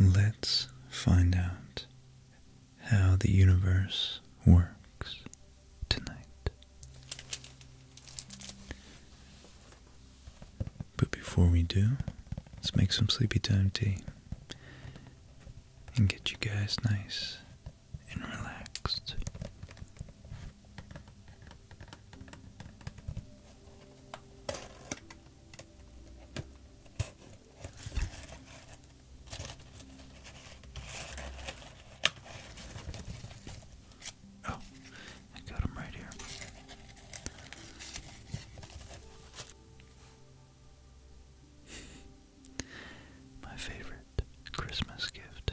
Let's find out how the universe works tonight. But before we do, let's make some sleepy time tea and get you guys nice and relaxed. Oh, I got him right here. My favorite Christmas gift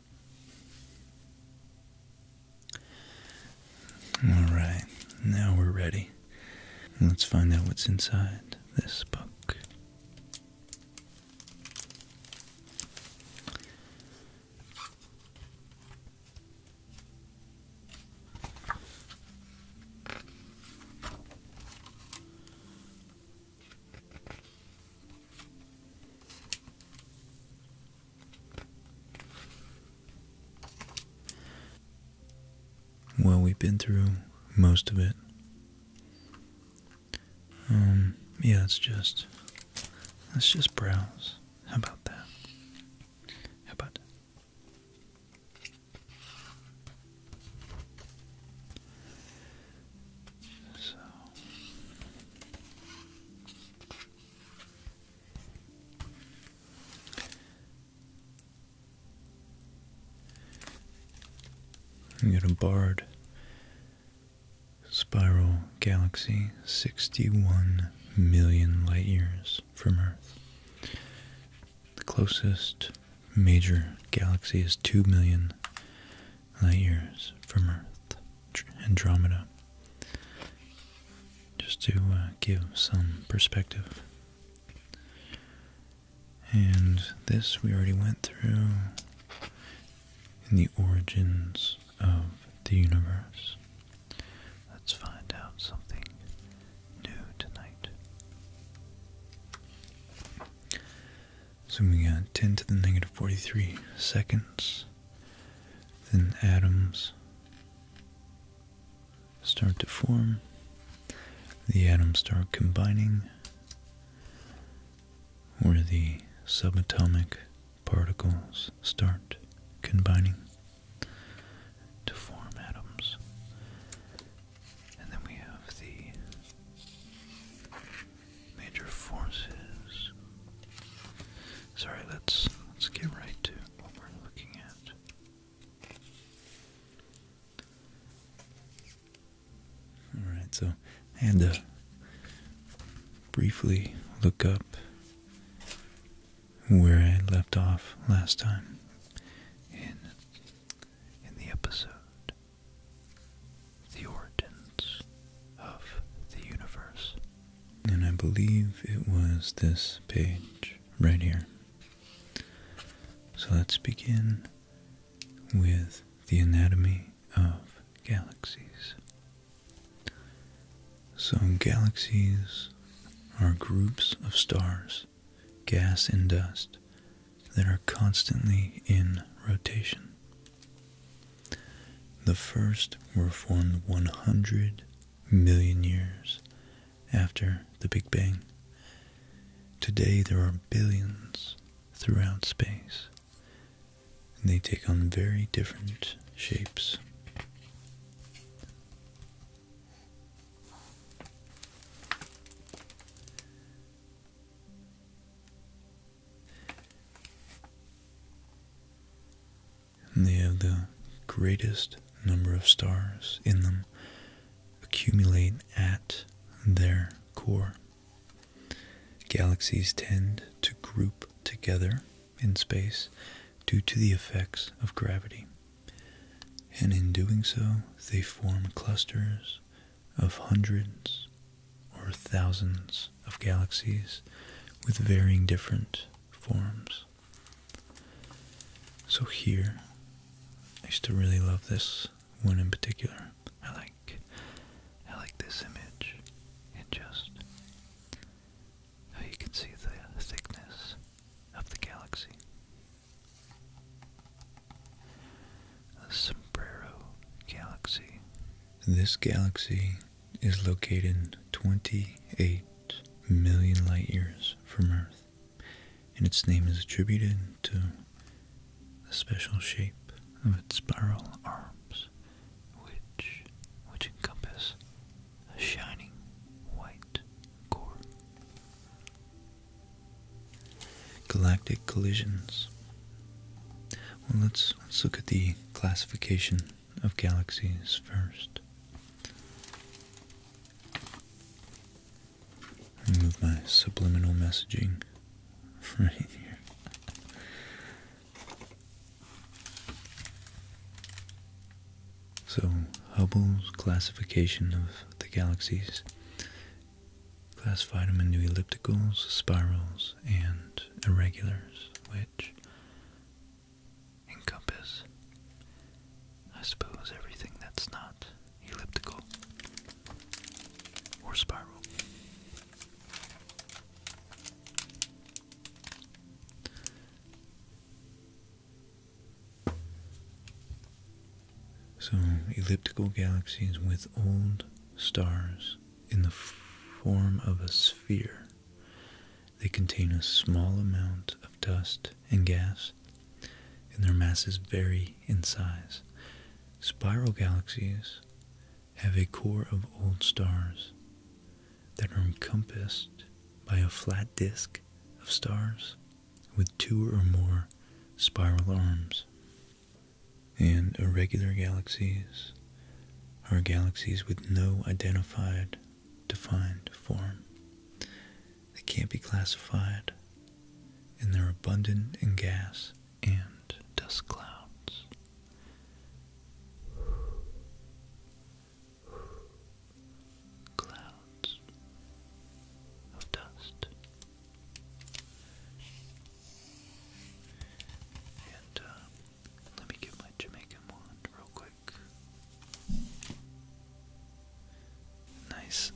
All right, now we're ready. Let's find out what's inside this book. Well, we've been through most of it. Um, yeah, it's just, let's just browse. How about that? How about I'm get a barred spiral galaxy 61 million light years from Earth. The closest major galaxy is 2 million light years from Earth, Andromeda, just to uh, give some perspective. And this we already went through in the origins of the universe. Let's find out something new tonight. So Zooming out 10 to the negative 43 seconds, then atoms start to form. The atoms start combining, Where the subatomic particles start combining to form atoms. And then we have the major forces. Sorry, let's let's get right to what we're looking at. Alright, so I had to briefly look up where I left off last time in in the episode the origins of the universe. And I believe it was this page right here. So let's begin with the anatomy of galaxies. So galaxies are groups of stars, gas and dust, that are constantly in rotation. The first were formed 100 million years after the Big Bang. Today there are billions throughout space, and they take on very different shapes. And they have the greatest number of stars in them accumulate at their core. Galaxies tend to group together in space due to the effects of gravity, and in doing so, they form clusters of hundreds or thousands of galaxies with varying different forms. So here, I used to really love this one in particular. I like, I like this image. It just you can see the thickness of the galaxy. The Sombrero Galaxy. This galaxy is located 28 million light years from Earth, and its name is attributed to the special shape of its spiral arms, which which encompass a shining white core. Galactic collisions. Well, let's let's look at the classification of galaxies first. Remove my subliminal messaging right here. So, Hubble's classification of the galaxies classified them into ellipticals, spirals, and irregulars, which encompass, I suppose, everything that's not elliptical or spiral. So, elliptical galaxies with old stars in the form of a sphere. They contain a small amount of dust and gas, and their masses vary in size. Spiral galaxies have a core of old stars that are encompassed by a flat disk of stars with two or more spiral arms. And irregular galaxies are galaxies with no identified, defined form. They can't be classified, and they're abundant in gas and dust clouds. Clouds of dust. Uh, let me get my Jamaican wand real quick. Nice.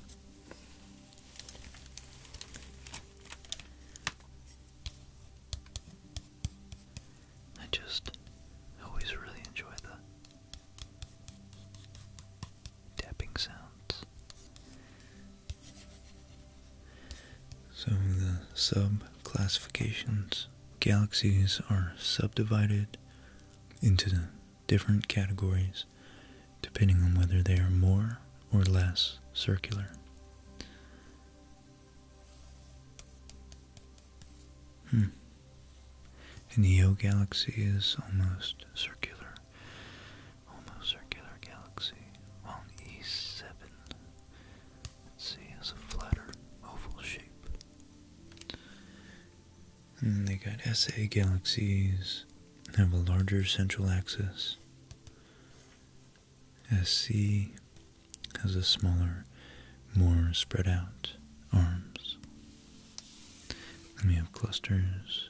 I just always really enjoy the tapping sounds. So the sub-classifications, galaxies are subdivided into different categories depending on whether they are more or less circular. Hmm. An EO galaxy is almost circular. Almost circular galaxy. Well, E7 C has a flatter, oval shape. And they got SA galaxies have a larger central axis. SC has a smaller, more spread out arms. we have clusters.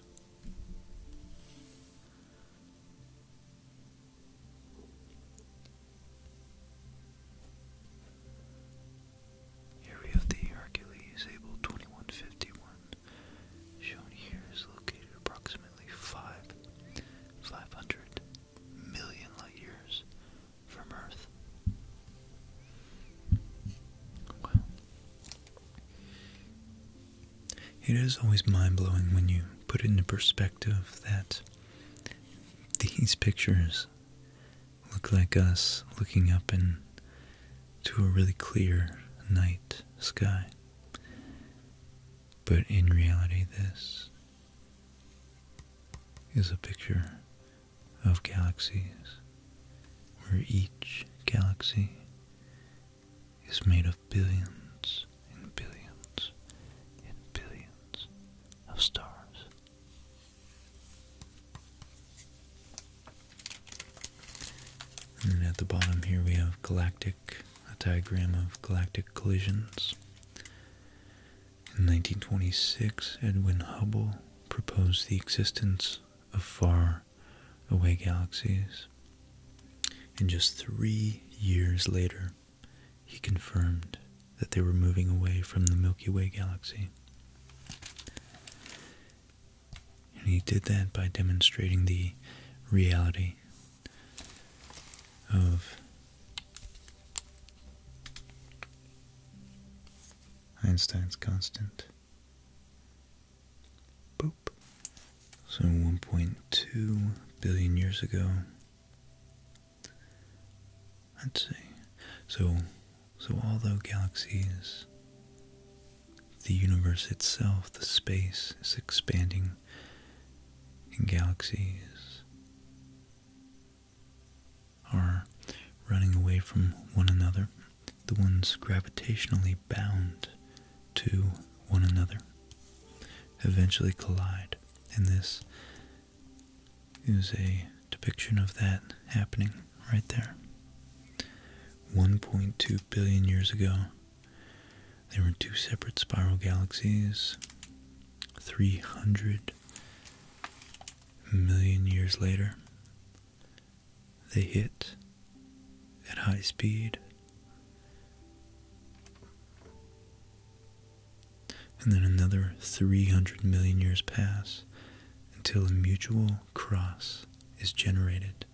Here we the Hercules Able 2151. Shown here is located approximately five, 500 million light years from Earth. it is always mind blowing when you put it into perspective that these pictures look like us looking up into a really clear night sky. But in reality, this is a picture of galaxies where each galaxy is made of billions and billions and billions and at the bottom here we have galactic, a diagram of galactic collisions. In 1926, Edwin Hubble proposed the existence of far away galaxies. And just three years later, he confirmed that they were moving away from the Milky Way galaxy. And he did that by demonstrating the reality of Einstein's constant. Boop. So 1.2 billion years ago, Let's see. So, so although galaxies, the universe itself, the space is expanding and galaxies, are running away from one another, the ones gravitationally bound to one another eventually collide, and this is a depiction of that happening right there. 1.2 billion years ago, there were two separate spiral galaxies. 300 million years later, they hit at high speed and then another 300 million years pass until a mutual cross is generated,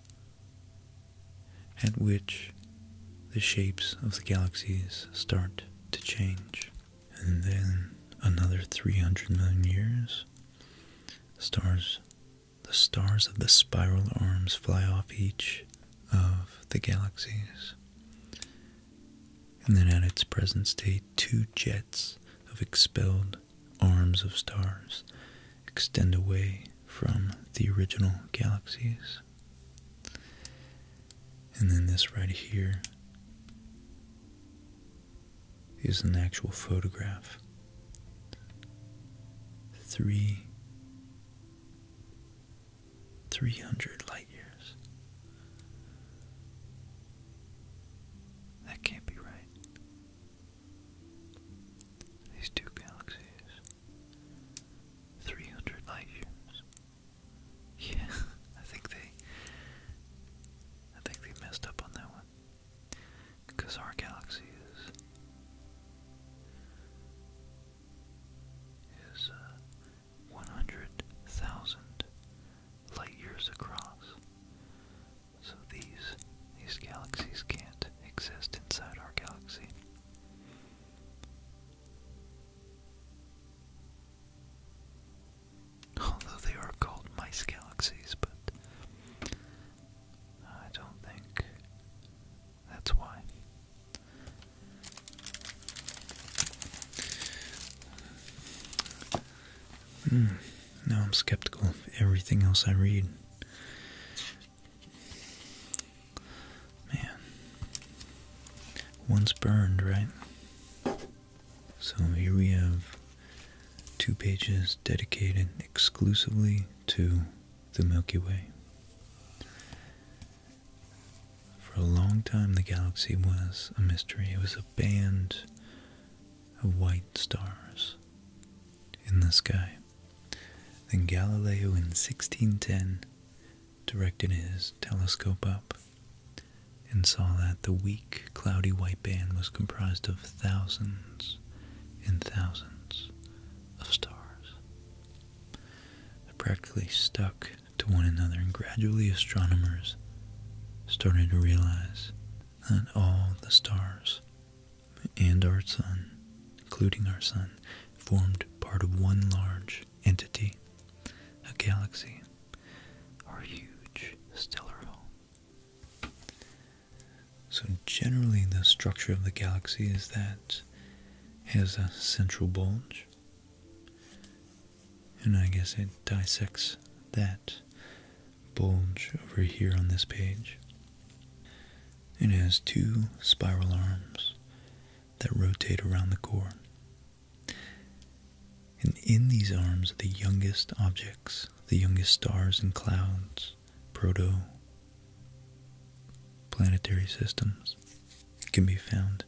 at which the shapes of the galaxies start to change. And then another 300 million years, stars, the stars of the spiral arms fly off each of the galaxies and then at its present state, two jets of expelled arms of stars extend away from the original galaxies. And then this right here is an actual photograph. Three 300 light years. That can't be right. These two galaxies. 300 light years. Yeah, I think they I think they messed up on that one. Because our galaxy is is uh 100,000 light years across. So these these galaxies can't exist inside our galaxy. Although they are called mice galaxies, but I don't think that's why. Hmm, now I'm skeptical of everything else I read. Man. Once burned, right? So here we have two pages dedicated exclusively to the Milky Way. For a long time, the galaxy was a mystery. It was a band of white stars in the sky. Then Galileo in 1610 directed his telescope up and saw that the weak, cloudy white band was comprised of thousands and thousands of stars. they practically stuck to one another, and gradually astronomers started to realize that all the stars and our sun, including our sun, formed part of one large entity, a galaxy, our huge stellar home. So generally the structure of the galaxy is that it has a central bulge and I guess it dissects that bulge over here on this page. It has two spiral arms that rotate around the core. And in these arms are the youngest objects, the youngest stars and clouds, proto planetary systems can be found.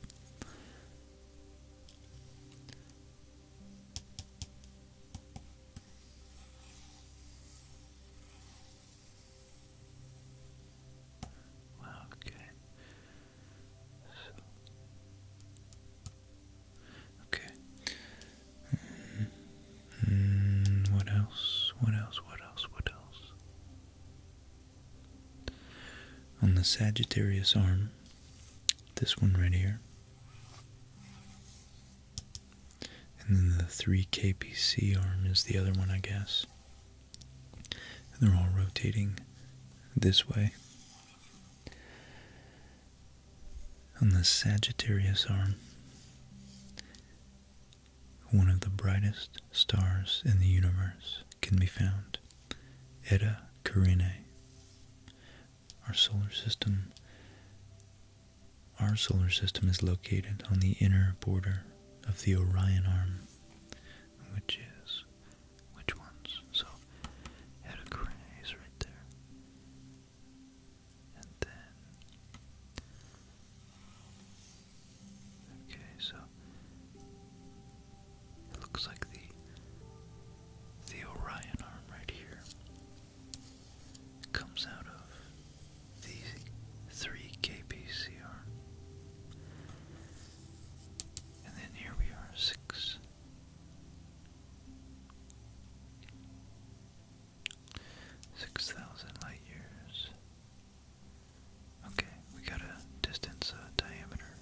Okay. Okay. Hmm, hmm, what else? What else? What else? What else? On the Sagittarius arm, this one right here, and then the 3KPC arm is the other one, I guess. And they're all rotating this way. On the Sagittarius arm, one of the brightest stars in the universe can be found. Eta Carinae. Our solar system our solar system is located on the inner border of the Orion arm, which is which ones? So Eta Carinae is right there. And then Okay, so looks like the the Orion arm right here comes out of the 3 KPCR, And then here we are, 6. Six thousand light years. Okay, we got a distance uh, diameter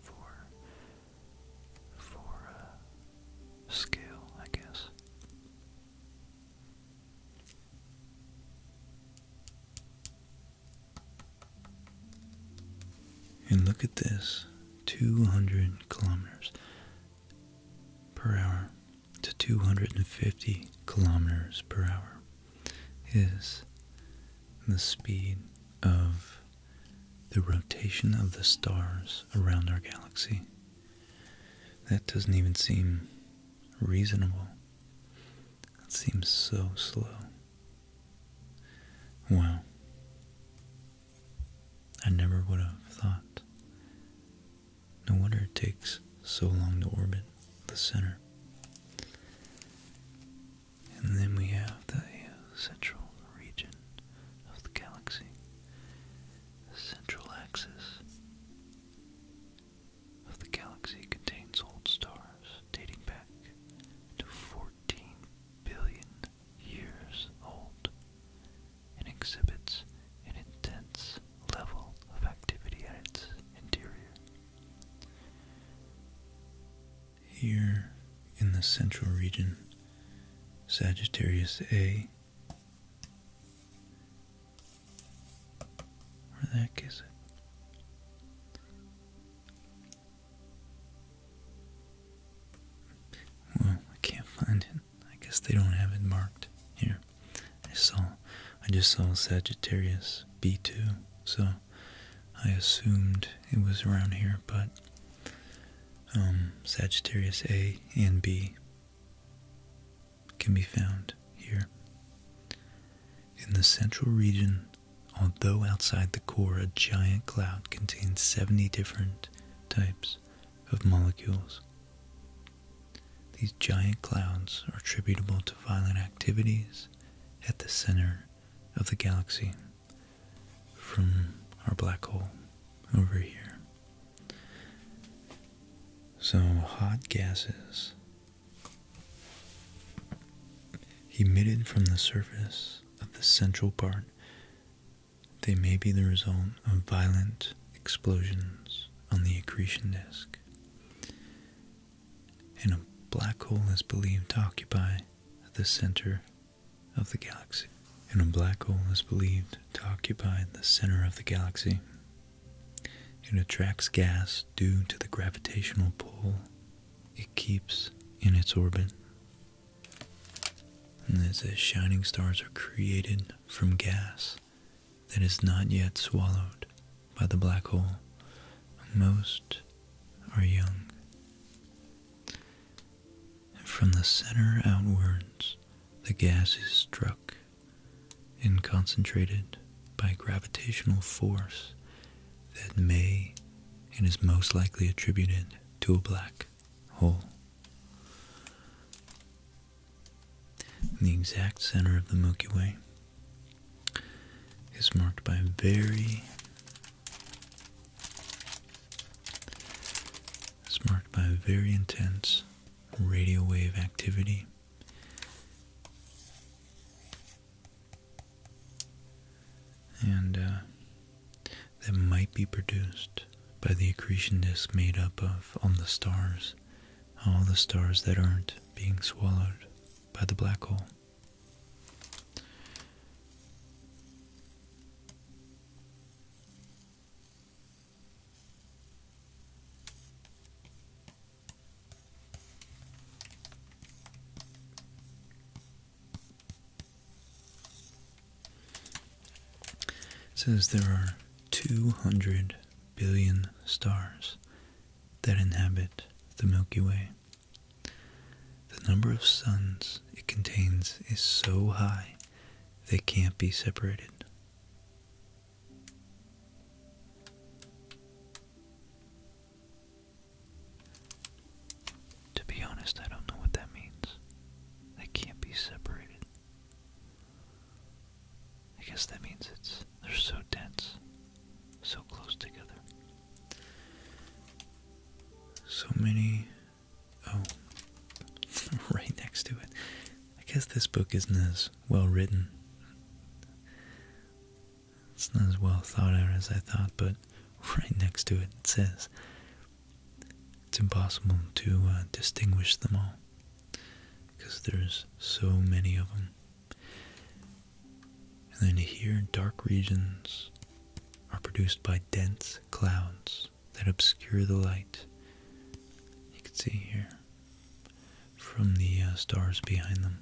for for uh, scale, I guess. And look at this, 200 kilometers per hour to 250 kilometers per hour is the speed of the rotation of the stars around our galaxy. That doesn't even seem reasonable. It seems so slow. Wow. I never would have thought. No wonder it takes so long to orbit the center. And then we have the uh, central region of the galaxy, the central axis of the galaxy contains old stars dating back to 14 billion years old and exhibits an intense level of activity at its interior. Here in the central region, Sagittarius A, where the heck is it? Well, I can't find it. I guess they don't have it marked here. I saw, I just saw Sagittarius B2, so I assumed it was around here, but um, Sagittarius A and B can be found here. In the central region, although outside the core, a giant cloud contains 70 different types of molecules. These giant clouds are attributable to violent activities at the center of the galaxy, from our black hole over here. So, hot gases emitted from the surface of the central part, they may be the result of violent explosions on the accretion disk. And a black hole is believed to occupy the center of the galaxy, and a black hole is believed to occupy the center of the galaxy. It attracts gas due to the gravitational pull it keeps in its orbit. And it says shining stars are created from gas that is not yet swallowed by the black hole. Most are young and from the center outwards the gas is struck and concentrated by gravitational force that may and is most likely attributed to a black hole. the exact center of the Milky Way is marked by very it's marked by very intense radio wave activity. And uh, that might be produced by the accretion disk made up of all the stars, all the stars that aren't being swallowed by the black hole says there are 200 billion stars that inhabit the Milky Way. The number of suns it contains is so high they can't be separated. To be honest, I don't know what that means. They can't be separated. I guess that means it's they're so dense, so close together. So many. Oh, right next to it. I guess this book isn't as well written. It's not as well thought out as I thought, but right next to it, it says it's impossible to uh, distinguish them all because there's so many of them. And then here, dark regions are produced by dense clouds that obscure the light. You can see here from the uh, stars behind them.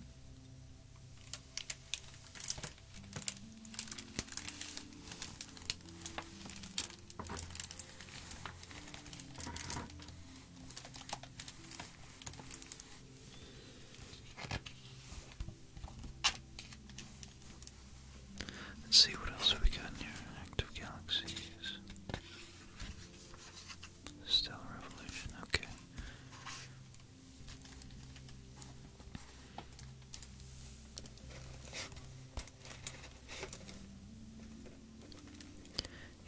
Let's see what else we got in here. Active galaxies. Stellar revolution, okay.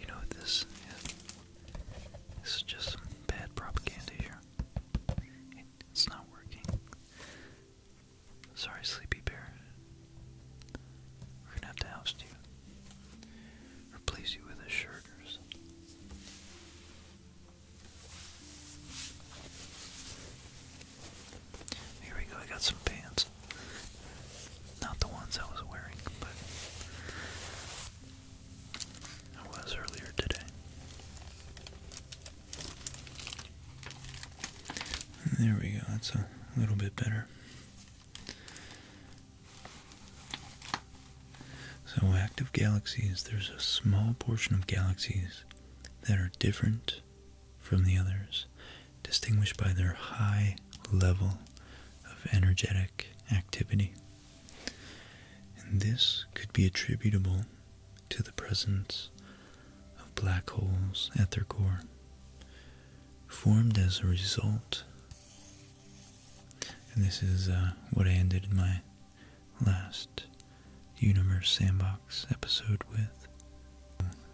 You know this This is just some bad propaganda here. It's not working. Sorry, Sleepy Bear. We're gonna have to oust you. Replace you with a shirt or something. Here we go, I got some pants. Not the ones I was wearing, but I was earlier today. There we go, that's a little bit better. So, active galaxies, there's a small portion of galaxies that are different from the others, distinguished by their high level of energetic activity. And this could be attributable to the presence of black holes at their core, formed as a result. And this is uh, what I ended my last Universe Sandbox episode with.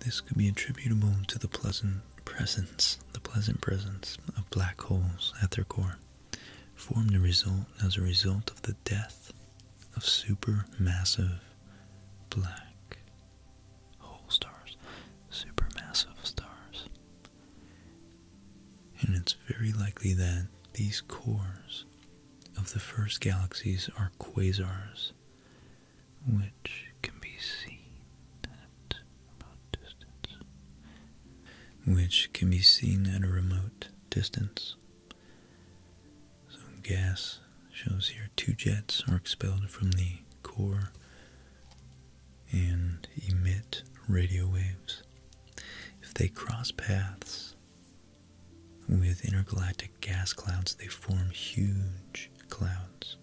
This could be attributable to the pleasant presence, the pleasant presence of black holes at their core, formed a result as a result of the death of supermassive black whole stars, supermassive stars. And it's very likely that these cores of the first galaxies are quasars, which can be seen at a remote distance some gas shows here two jets are expelled from the core and emit radio waves. If they cross paths with intergalactic gas clouds, they form huge clouds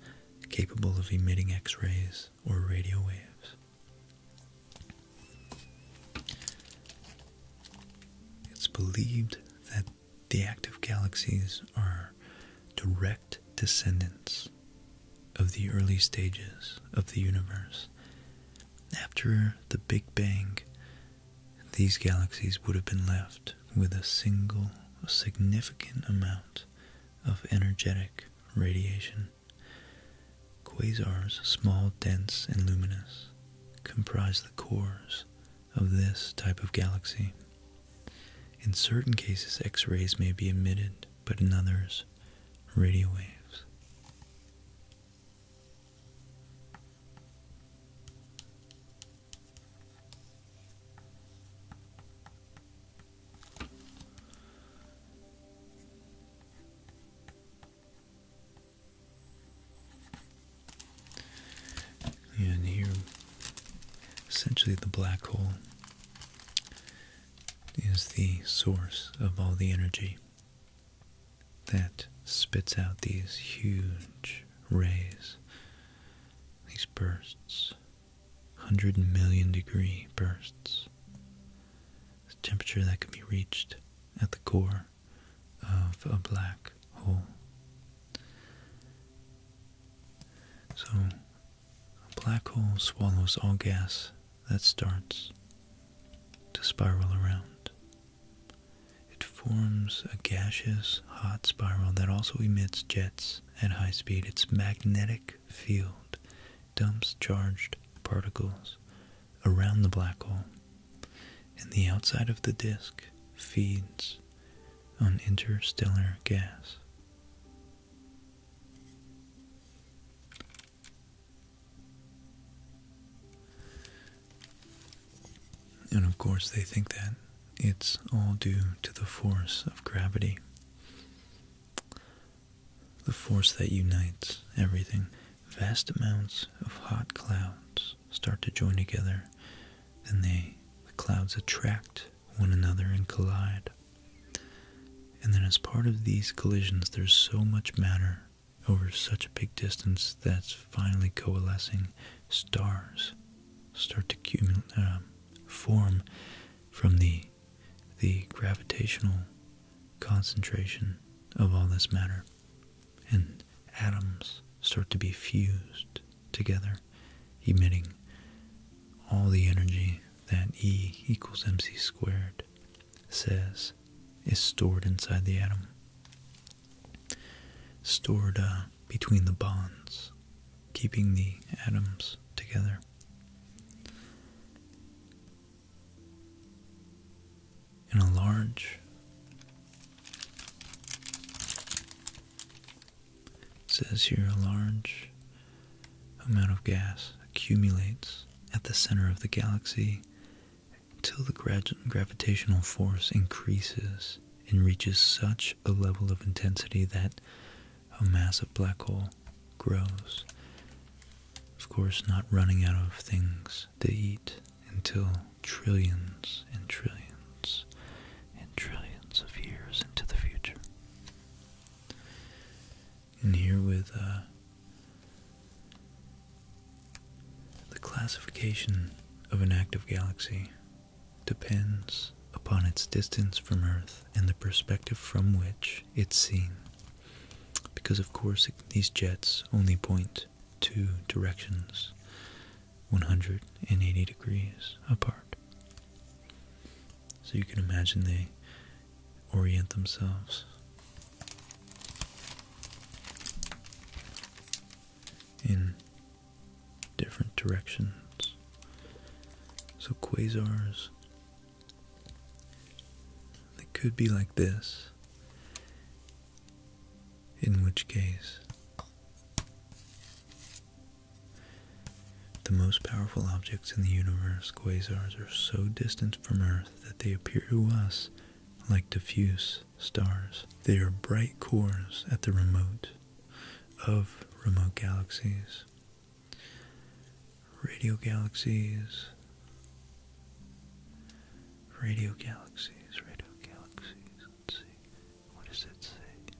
capable of emitting X rays or radio waves. It's believed that the active galaxies are direct descendants of the early stages of the universe. After the Big Bang, these galaxies would have been left with a single significant amount of energetic radiation. Quasars, small, dense, and luminous, comprise the cores of this type of galaxy. In certain cases, X rays may be emitted, but in others, radio waves. And here, essentially, the black hole is the source of all the energy that spits out these huge rays, these bursts, 100 million degree bursts. The temperature that can be reached at the core of a black hole. So, a black hole swallows all gas that starts to spiral around. It forms a gaseous, hot spiral that also emits jets at high speed. Its magnetic field dumps charged particles around the black hole and the outside of the disk feeds on interstellar gas. And of course, they think that it's all due to the force of gravity, the force that unites everything. Vast amounts of hot clouds start to join together, and they, the clouds attract one another and collide. And then, as part of these collisions, there's so much matter over such a big distance that's finally coalescing. Stars start to um, form from the the gravitational concentration of all this matter and atoms start to be fused together, emitting all the energy that E equals mc squared says is stored inside the atom, stored uh, between the bonds, keeping the atoms together. In a large it says here a large amount of gas accumulates at the center of the galaxy until the gravitational force increases and reaches such a level of intensity that a massive black hole grows. Of course, not running out of things to eat until trillions and trillions and trillions of years into the future. And here with uh, the classification of an active galaxy depends upon its distance from Earth and the perspective from which it's seen. Because, of course, these jets only point two directions 180 degrees apart. So you can imagine they orient themselves. In different directions. So quasars, they could be like this, in which case the most powerful objects in the universe, quasars, are so distant from Earth that they appear to us like diffuse stars. They are bright cores at the remote of remote galaxies, radio galaxies, radio galaxies, radio galaxies. Let's see. What does it say?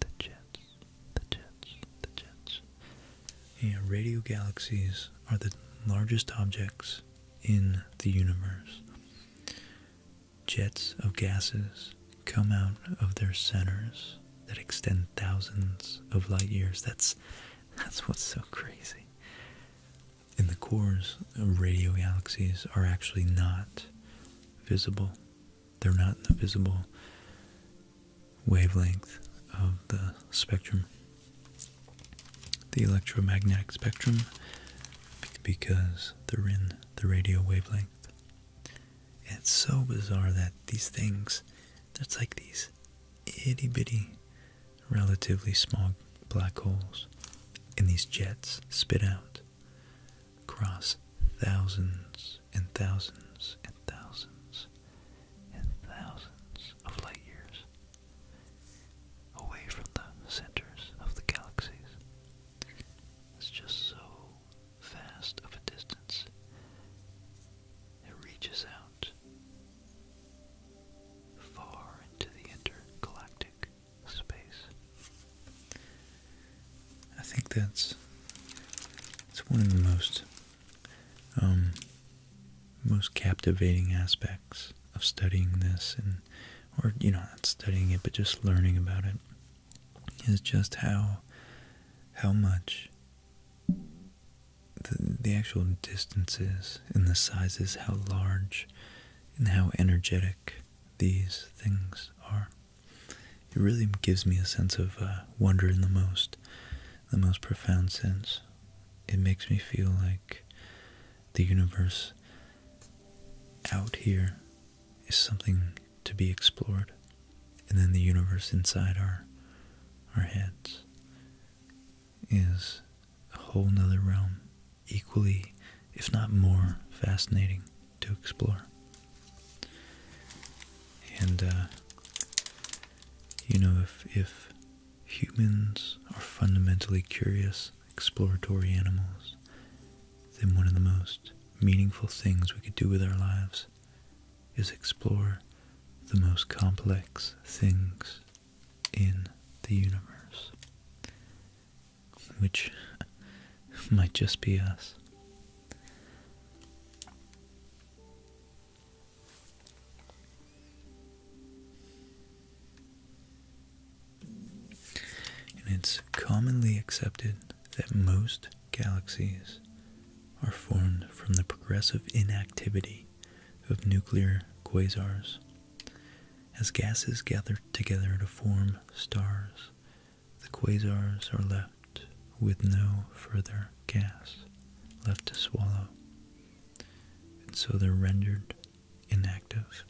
The Jets, the Jets, the Jets. And radio galaxies are the largest objects in the universe. Jets of gases come out of their centers that extend thousands of light years. That's that's what's so crazy. In the cores of radio galaxies are actually not visible. They're not in the visible wavelength of the spectrum, the electromagnetic spectrum, because they're in the radio wavelength. It's so bizarre that these things, that's like these itty bitty, relatively small black holes, and these jets spit out cross thousands and thousands and thousands and thousands of light years away from the centers of the galaxies. It's just so vast of a distance. It reaches out far into the intergalactic space. I think that's it's one of the most um, most captivating aspects of studying this, and or you know not studying it, but just learning about it is just how how much the the actual distances and the sizes, how large and how energetic these things are. It really gives me a sense of uh, wonder in the most, the most profound sense. It makes me feel like the universe out here is something to be explored, and then the universe inside our our heads is a whole nother realm equally, if not more, fascinating to explore. And, uh, you know, if, if humans are fundamentally curious, exploratory animals, then one of the most meaningful things we could do with our lives is explore the most complex things in the universe which might just be us. And it's commonly accepted that most galaxies are formed from the progressive inactivity of nuclear quasars as gases gather together to form stars the quasars are left with no further gas left to swallow, and so they're rendered inactive.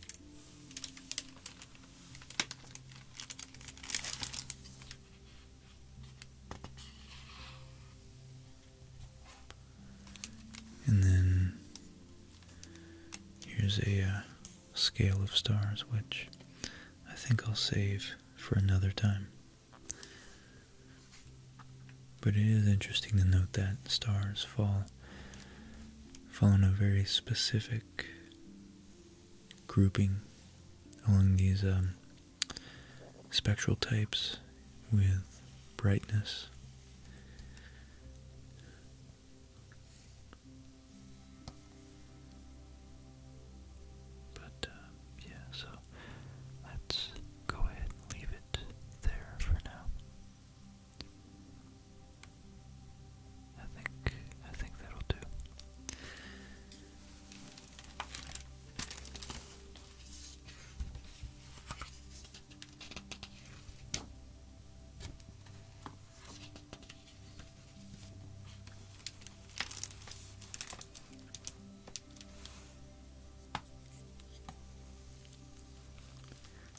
And then here's a uh, scale of stars, which I think I'll save for another time. But it is interesting to note that stars fall fall in a very specific grouping along these um, spectral types with brightness but, um, yeah, so let's go ahead and leave it there for now. I think, I think that'll do.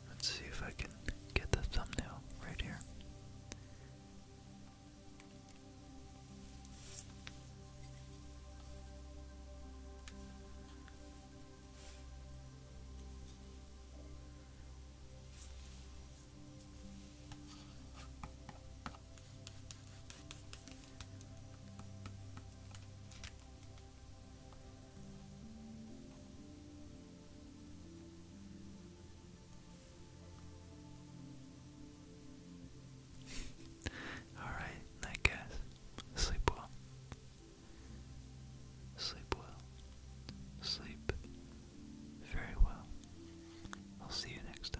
Let's see if I can get the thumbnail right here. All right, night guys. Sleep well. Sleep well. Sleep very well. I'll see you next time.